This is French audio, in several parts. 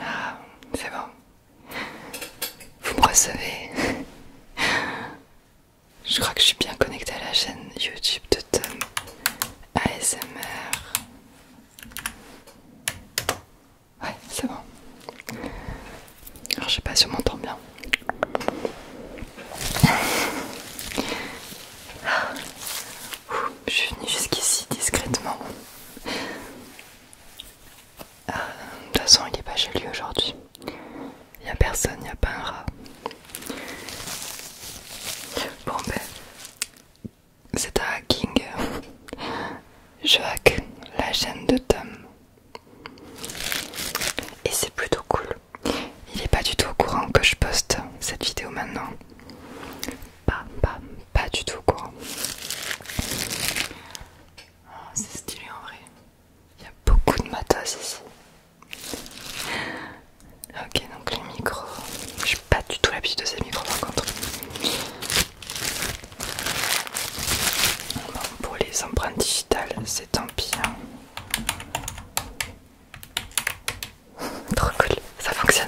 Ah, c'est bon. Vous me recevez. Je crois que je suis bien connectée à la chaîne YouTube de Tom ASMR. Ouais, c'est bon. Alors je sais pas si on m'entend bien. Je suis venue jusqu'ici discrètement. Euh, de toute façon, il n'est pas chez lui aujourd'hui. Il n'y a personne, il n'y a pas un rat. Bon ben, c'est un hacking. Je la chaîne de Tom. Et c'est plutôt cool. Il est pas du tout au courant que je poste cette vidéo maintenant. Pas, pas, pas du tout au courant. Ah, c'est stylé en vrai. Il y a beaucoup de matos ici. Ok, donc les micros. Je n'ai pas du tout l'habitude de ces micros par contre. pour les empreintes c'est tant pis. Trop cool, ça fonctionne.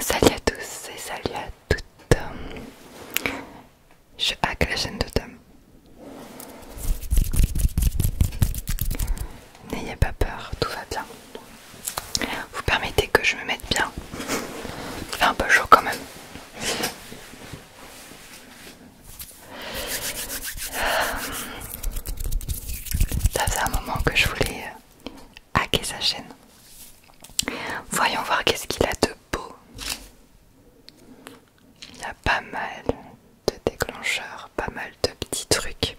Salut à tous et salut à toutes. Je hack la chaîne de Tom. N'ayez pas peur, tout va bien. Vous permettez que je me mette bien. C'est un peu chaud quand même. Ça faisait un moment que je voulais euh, hacker sa chaîne. Voyons voir qu'est-ce qu'il a de beau. Il y a pas mal de déclencheurs, pas mal de petits trucs.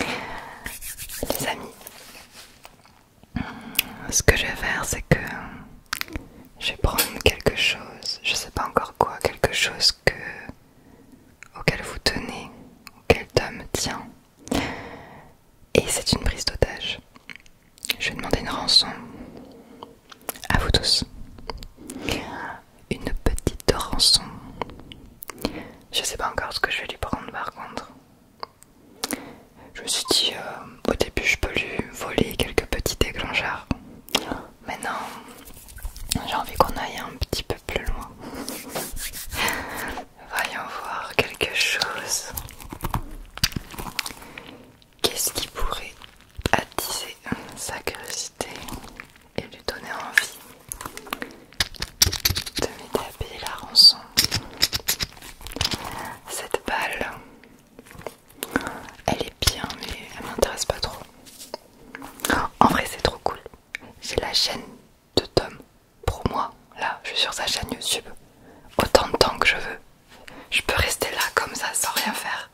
Les amis, ce que je vais faire, c'est que je vais prendre quelque chose, je sais pas encore quoi, quelque chose que auquel vous tenez, auquel Tom tient. Et c'est une prise d'otage. Je vais demander une rançon à vous tous. Une petite rançon. Je sais pas encore ce que je vais lui prendre par contre. Je me suis dit, euh, au début, je peux lui voler quelques petits mais Maintenant, j'ai envie qu'on aille un petit peu plus loin. Voyons voir quelque chose. Qu'est-ce qui pourrait attiser sa curiosité et lui donner envie de m'aider payer la rançon Cette balle elle est bien, mais elle m'intéresse pas trop. En vrai, c'est trop cool. J'ai la chaîne de Tom pour moi. Là, je suis sur sa chaîne YouTube. Autant de temps que je veux. Je peux rester là comme ça sans rien faire.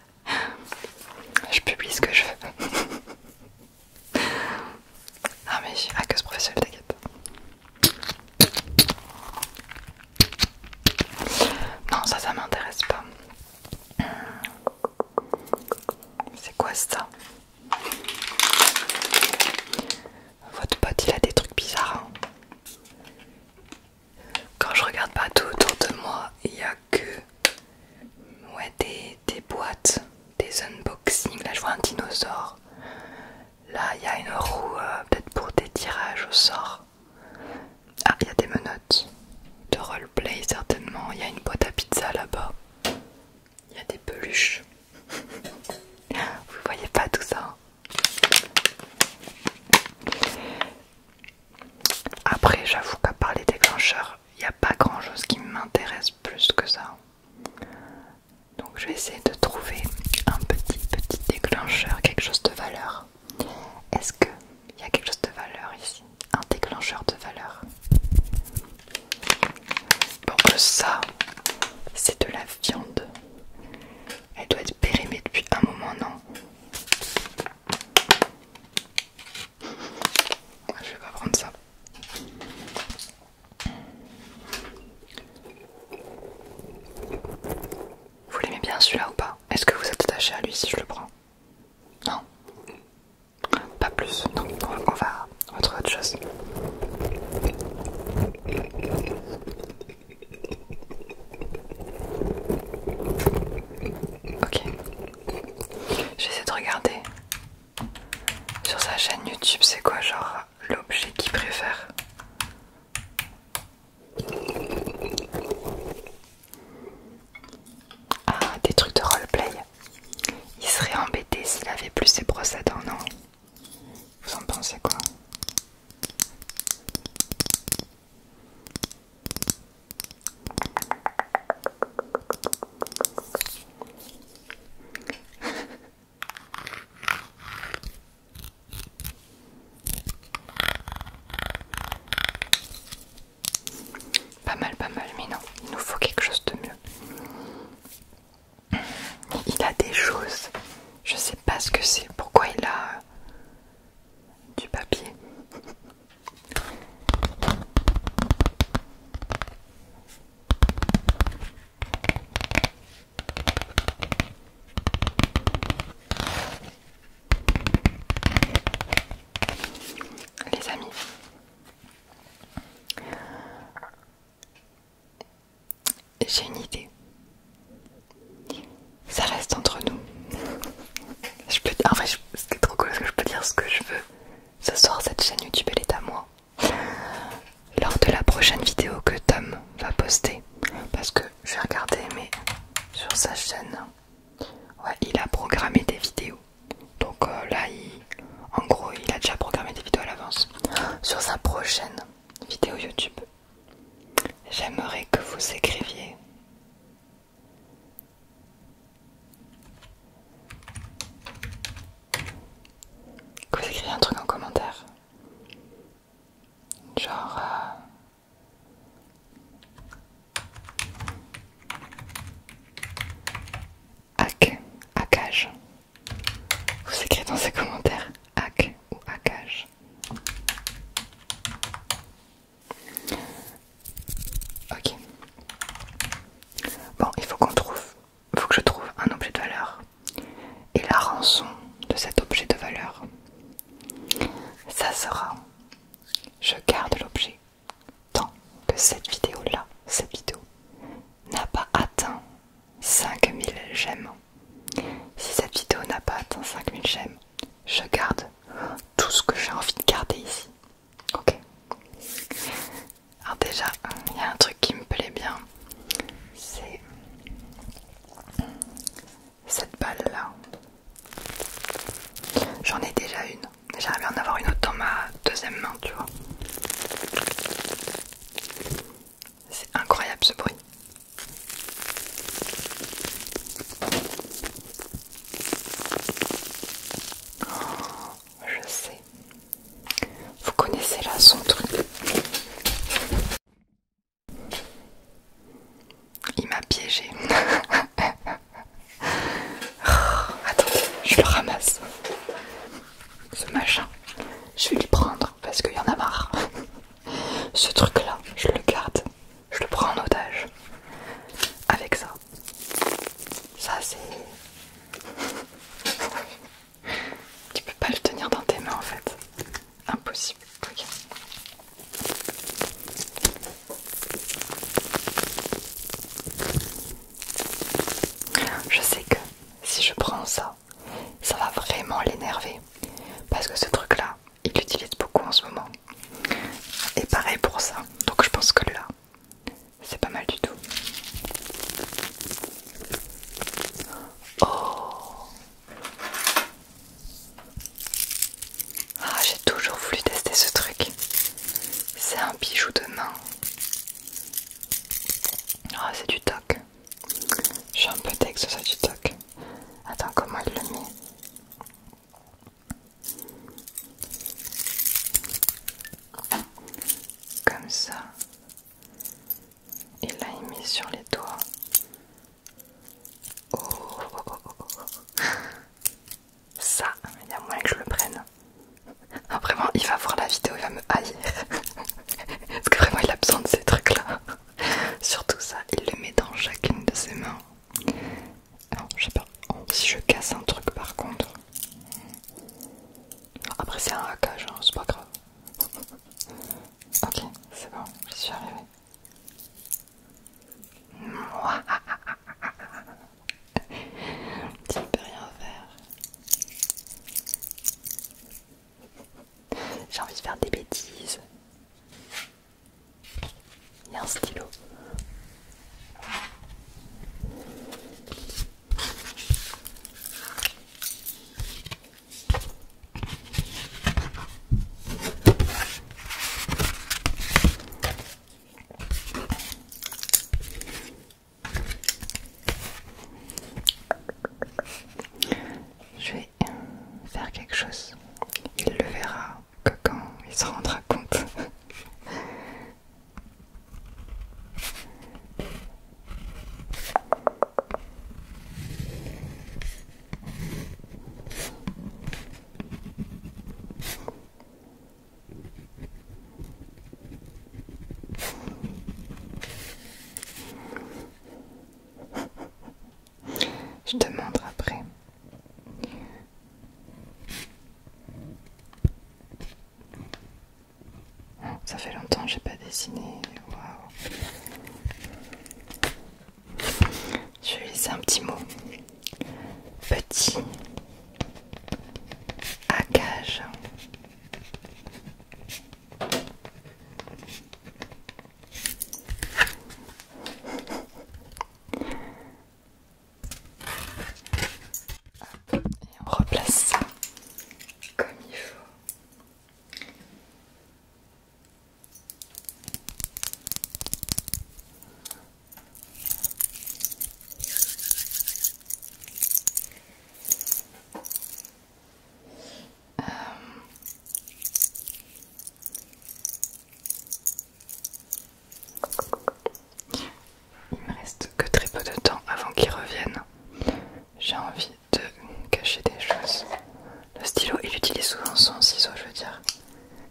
Je publie ce que je veux. ah mais je suis professionnelle, t'inquiète. Non, ça, ça m'intéresse pas. Hmm. C'est quoi ça Votre pote, il a des trucs bizarres. Hein. Quand je regarde pas tout autour de moi, il n'y a que des, boîtes, des unboxings. Là, je vois un dinosaure. Là, il y a une roue, euh, peut-être pour des tirages au sort. Ah, il y a des menottes de roleplay certainement. Il y a une boîte à pizza là-bas. Il y a des peluches. Vous voyez pas tout ça. Hein. Après, j'avoue qu'à part les déclencheurs, il n'y a pas grand chose qui m'intéresse plus que ça. Donc, je vais essayer de trouver un petit, petit déclencheur, quelque chose de valeur est-ce qu'il y a quelque chose de valeur ici Un déclencheur de valeur Bon, euh, ça, c'est de la viande. Elle doit être périmée depuis un moment, non Je vais pas prendre ça. Vous l'aimez bien celui-là ou pas Est-ce que vous êtes attaché à lui si je le prends Non Pas plus. Donc on va, autre chose. Ok. J'essaie de regarder sur sa chaîne YouTube, c'est quoi genre l'objet qu'il préfère ah, des trucs de roleplay. Il serait embêté s'il avait plus ses brosses non Vous en pensez quoi pas mal, pas mal, mais non, il nous faut quelque chose de mieux. Il a des choses, je sais pas ce que c'est, pourquoi il a euh, du papier. Les amis, j'ai une idée. Ça reste entre nous. Je peux, c'est trop cool que je peux dire ce que je veux. Ce soir, cette chaîne YouTube, elle est à moi. Lors de la prochaine vidéo que Tom va poster, parce que j'ai regardé mais sur sa chaîne ouais il a programmé des vidéos donc euh, là il, en gros il a déjà programmé des vidéos à l'avance sur sa prochaine vidéo youtube j'aimerais que vous écriviez que vous écriviez un truc en commentaire Genre... Euh, hack, hackage. Vous écrivez dans ces commentaires hack ou hackage. Ok. Bon, il faut qu'on trouve, faut que je trouve un objet de valeur et la rançon de cet objet de valeur. Ça sera je garde l'objet tant que cette vidéo-là, cette vidéo, n'a pas atteint 5000 j'aime. Si cette vidéo n'a pas atteint 5000 j'aime, je garde tout ce que j'ai envie de garder ici. Ok Alors déjà, il y a un truc qui me plaît bien, c'est cette balle-là. J'en ai déjà une. J'aimerais bien en avoir une autre dans ma deuxième main, tu vois. C'est incroyable ce bruit. Oh, je sais. Vous connaissez là son truc. Il m'a piégé. Oh, attendez, je le ramasse. Ce machin, je vais le prendre parce qu'il y en a marre. Ce truc-là, je le garde. Je le prends en otage. Avec ça. Ça, c'est... tu peux pas le tenir dans tes mains en fait. Impossible. ok. Je sais que si je prends ça, ça va vraiment l'énerver. Parce que ce truc-là, il l'utilise beaucoup en ce moment. Et pareil pour ça. Donc je pense que là, c'est pas mal du tout. Oh. Ah, j'ai toujours voulu tester ce truc. C'est un bijou de main. Ah, c'est du toc. Je un peu deg que du toc. Attends, comment il le met comme ça et là, Il l'a mis sur les doigts. Oh, oh, oh, oh Ça, il y a moyen que je le prenne. Ah, vraiment, il va voir la vidéo, il va me haïr. Parce que vraiment, il a besoin de ces trucs-là. Surtout ça, il le met dans chacune de ses mains. je sais pas. Si je casse un truc par contre. Après, c'est un hackage, hein, c'est pas grave. Ok, c'est bon, je suis arrivée. tu ne peux rien faire. J'ai envie de faire des bêtises. Il y a un stylo. Je vais euh, faire quelque chose. Il le verra quand il se rendra compte. Je te montre après. Ça fait longtemps que j'ai pas dessiné. Je lis un petit mot. Petit à cage. Et on replace ça comme il faut. Euh, il me reste que très peu de temps avant qu'ils reviennent. J'ai envie de cacher des choses. Le stylo, il utilise souvent son ciseau, je veux dire.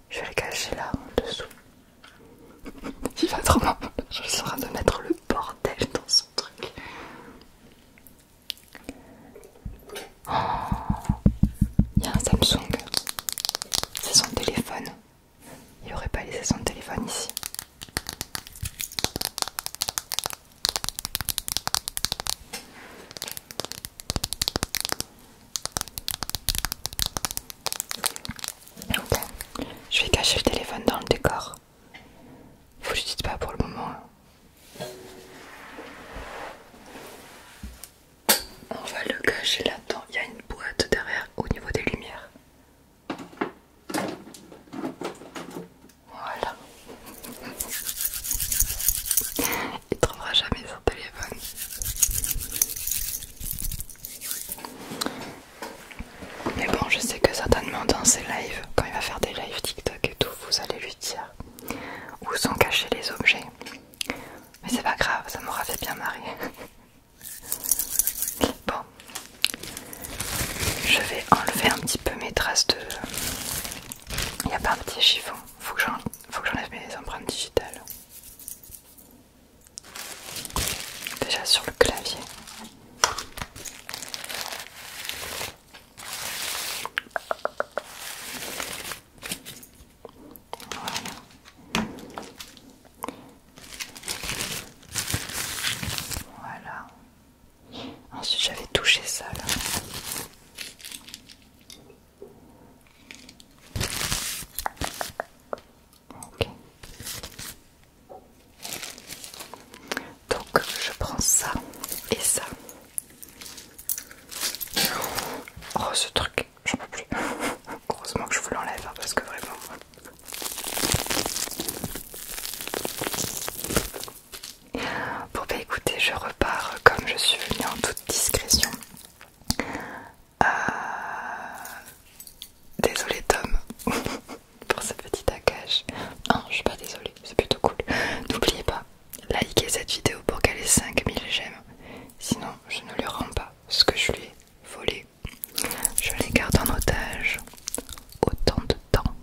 Je vais le cacher là en dessous. Il va trop mal. Je suis de mettre le bordel dans son truc. Oh. il y a un Samsung. C'est son téléphone. Il aurait pas laissé son téléphone ici. Ok, je vais cacher le téléphone dans le décor. Vous ne dites pas pour le moment. Hein. On va le cacher là-dedans. Il y a une boîte derrière au niveau des lumières. Voilà. Il trouvera jamais son téléphone. Mais bon, je sais que certainement dans ses lives, quand il va faire des lives TikTok et tout, vous allez lui dire où sont cachés les objets. Mais c'est pas grave, ça m'aura fait bien marrer. Bon, je vais enlever un petit peu mes traces de, il n'y a pas un petit chiffon. Faut que j'enlève mes empreintes digitales. Déjà sur le clavier. Voilà. Voilà. Ensuite, j'avais touché ça là. Donc, je prends ça et ça. Oh, ce truc, j'en peux plus. Heureusement que je vous l'enlève hein, parce que vraiment. Bon bah écoutez, je repars comme je suis venu en toute discrétion. Euh, Désolé Tom pour ce petit taquage. Non, je suis pas désolée, c'est plutôt cool. N'oubliez pas, likez cette vidéo pour qu'elle ait 5000 j'aime. Sinon, je ne lui rends pas ce que je lui ai volé. Je les garde en otage autant de temps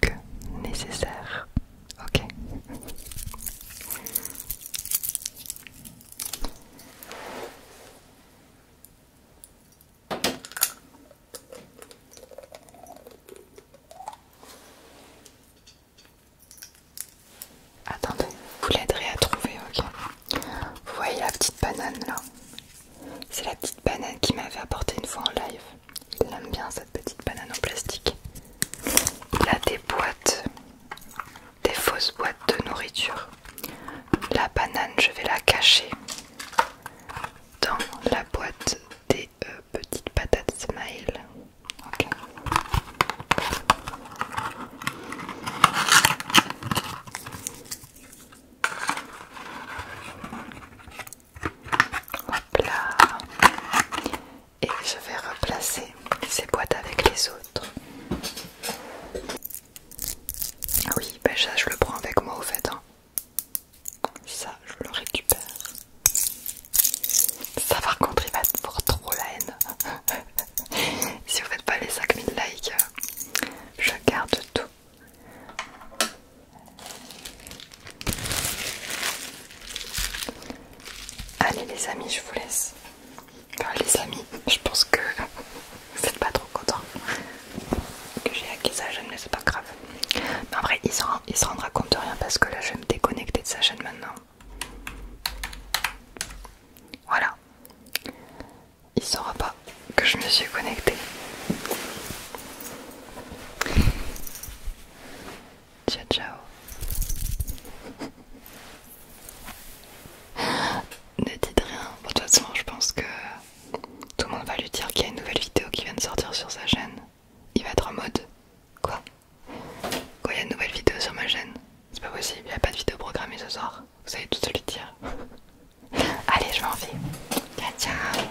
que nécessaire, Ok Attendez, vous l'aiderez à trouver, ok Vous voyez la petite banane là C'est la petite banane qui m'avait apporté une fois en live. Il aime bien cette petite banane en plastique. Il a des boîtes, des fausses boîtes de nourriture. La banane, je vais la cacher dans la boîte des euh, petites patates smile. Hop là. Et je vais replacer ces boîtes avec les autres. Ah oui, ben ça je le prends avec moi au fait. Hein. Ça, je le récupère. Ça par contre, il va être pour trop la haine. si vous faites pas les 5000 likes, euh, je garde tout. Allez les amis, je vous laisse. les amis, je pense que vous n'êtes pas trop content que j'ai acquis sa chaîne, mais c'est pas grave. Mais après, vrai, il se, il se rendra compte de rien parce que là, je vais me déconnecter de sa chaîne maintenant. Voilà. Il saura pas que je me suis connectée. Ciao, ciao. ne dites rien. de toute façon, je pense que tout le monde va lui dire qu'il y a une nouvelle vidéo qui vient de sortir sur sa chaîne. Il va être en mode Quoi Quoi, il y a une nouvelle vidéo sur ma chaîne C'est pas possible, il n'y a pas de vidéo programmée ce soir. Vous tout se lui dire. Allez, je m'en vais. Ciao, ciao.